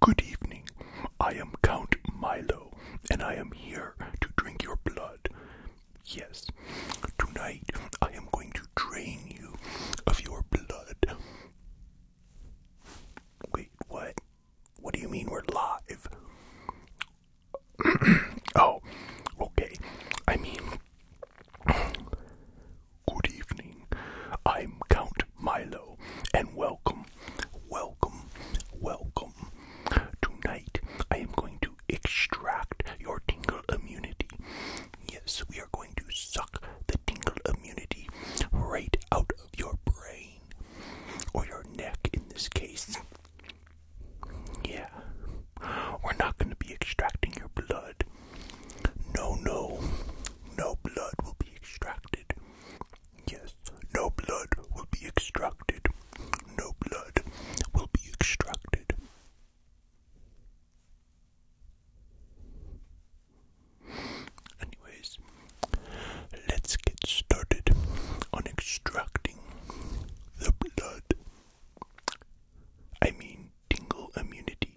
Good evening. I am Count Milo, and I am here to drink your blood. Yes, tonight I am going to drain you of your blood. Wait, what? What do you mean we're live? oh, okay. I mean, good evening. I'm Count Milo, and welcome, welcome, welcome. Tonight, I am going to extract your tingle immunity. Yes, we are going to suck the tingle immunity right out of your brain, or your neck in this case. Yeah, we're not going to be extracting your blood. No, no, no blood will be extracted. Yes, no blood will be extracted. No blood will be extracted. Anyways, let's get started on extracting the blood. I mean, tingle immunity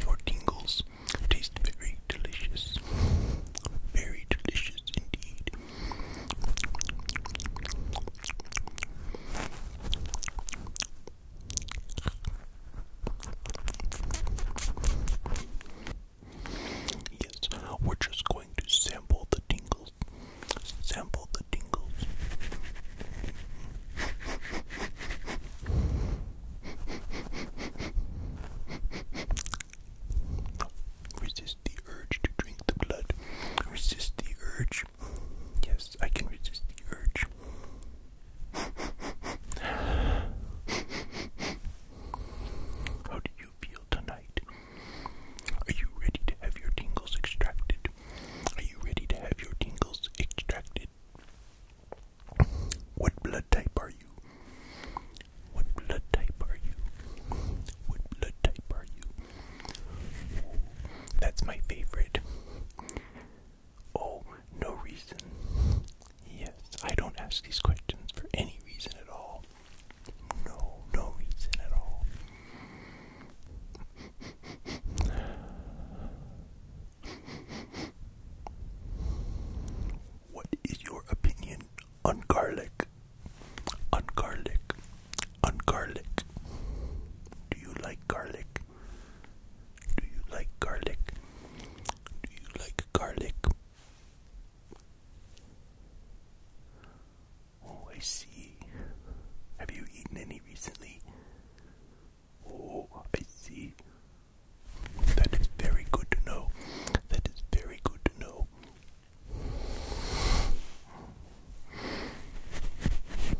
Your tingles taste very delicious, very delicious indeed. Yes, we're just going to sample the tingles. Sample the tingles. Resist the urge to drink the blood. Resist the urge. Yes, I can resist the urge. How do you feel tonight? Are you ready to have your tingles extracted? Are you ready to have your tingles extracted? What blood type are you? What blood type are you? What blood type are you? That's my favorite. Oh, no reason. Yes, I don't ask these questions for any reason at all. No, no reason at all. What is your opinion on garlic? On garlic. On garlic. Do you like garlic? Do you like garlic? Do you like garlic? Oh, I see. Have you eaten any recently? Oh, I see. That is very good to know. That is very good to know.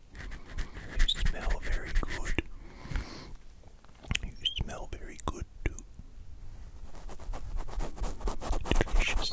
You smell very good. You smell very good too. Delicious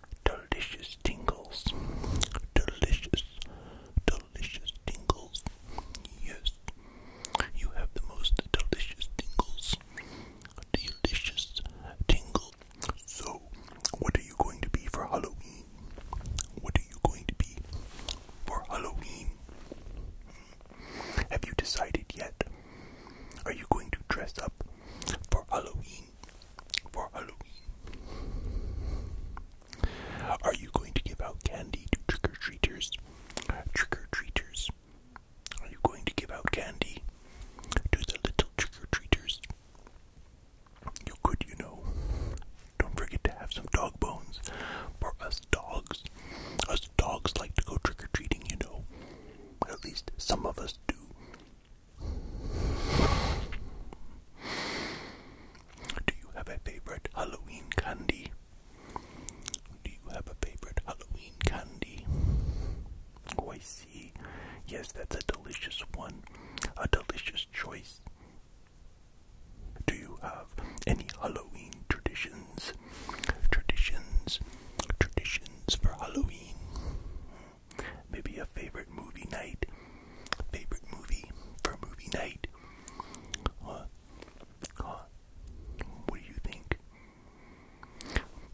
delicious tingles, delicious, delicious tingles. Yes, you have the most delicious tingles, delicious tingles. So, what are you going to be for Halloween? What are you going to be for Halloween? Have you decided yet? Are you going to dress up for Halloween? For Halloween. Are you going to give out candy to trick or treaters? Trick or treaters. Are you going to give out candy to the little trick or treaters? You could, you know. Don't forget to have some dog bones for us dogs. Us dogs like to go trick or treating, you know. At least some of us do. Do you have a favorite Halloween candy? Do you have a favorite Halloween candy? Oh, I see. Yes, that's a delicious one. A delicious choice. Do you have any Halloween traditions? Traditions. Traditions for Halloween. Maybe a favorite movie night. Favorite movie for movie night. What do you think?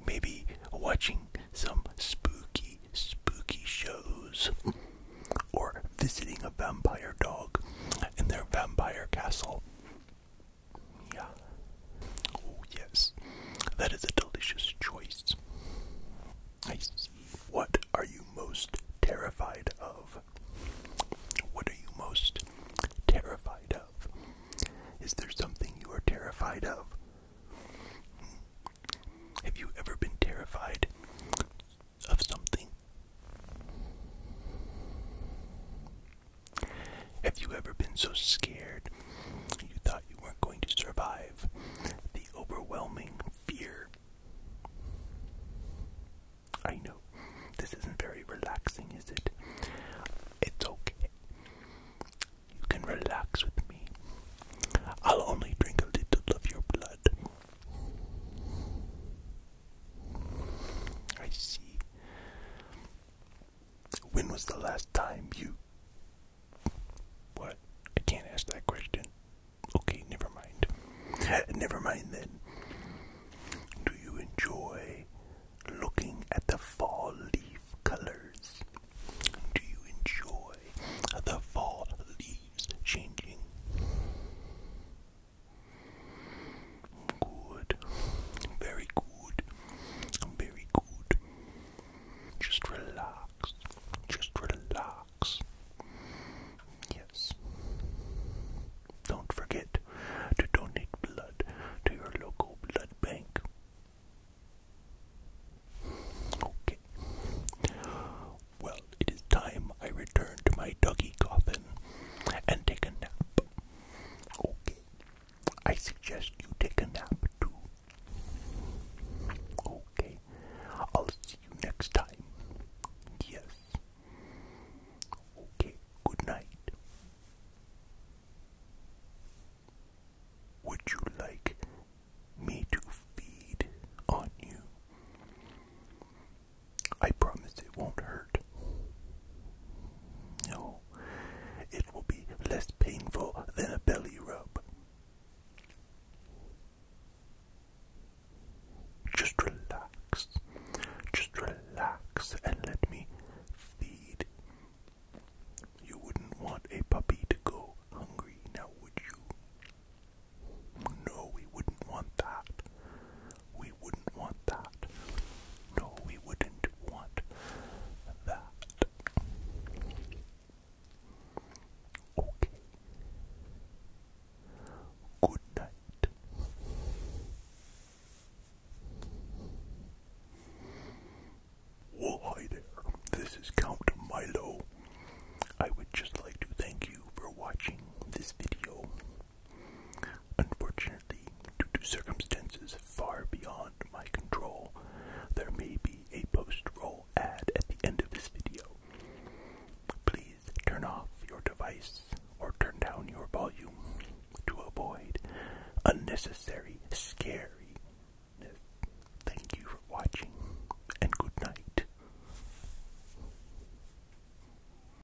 Maybe watching some spooky, spooky shows. Or visiting a vampire dog in their vampire castle. Yeah. Oh, yes. That is a delicious choice. I see. What are you most terrified of? What are you most terrified of? Is there something you are terrified of? Have you ever been terrified of something? Have you ever been so scared you thought you weren't going to survive? The overwhelming fear. I know, this isn't very relaxing, is it? It's okay. You can relax with me. I'll only drink a little of your blood. I see. When was the last time you. What? I can't ask that question. Okay, never mind. never mind then. Do you enjoy looking at the fall leaf colors? Do you enjoy the fall leaves changing? Good. Very good. Very good. Just relax. Just relax. Yes. Don't forget to donate blood to your local blood bank. Okay. Well, it is time I return to my doggy coffin and take a nap. Okay. I suggest you take a nap too. Okay, I'll see you next time. Yes. Okay, good night. Would you like me to feed on you? I promise it won't hurt. No. It will be less painful than a belly rub. Just relax. Just relax and let me feed. You wouldn't want a puppy to go hungry now, would you? No, we wouldn't want that. We wouldn't want that. No, we wouldn't want that. Okay. Good night. Well, hi there. This is Count Milo. I would just like to thank you for watching this video. Unfortunately, due to circumstances far beyond my control, there may be a post-roll ad at the end of this video. Please turn off your device or turn down your volume to avoid unnecessary scariness. Thank you for watching and good night.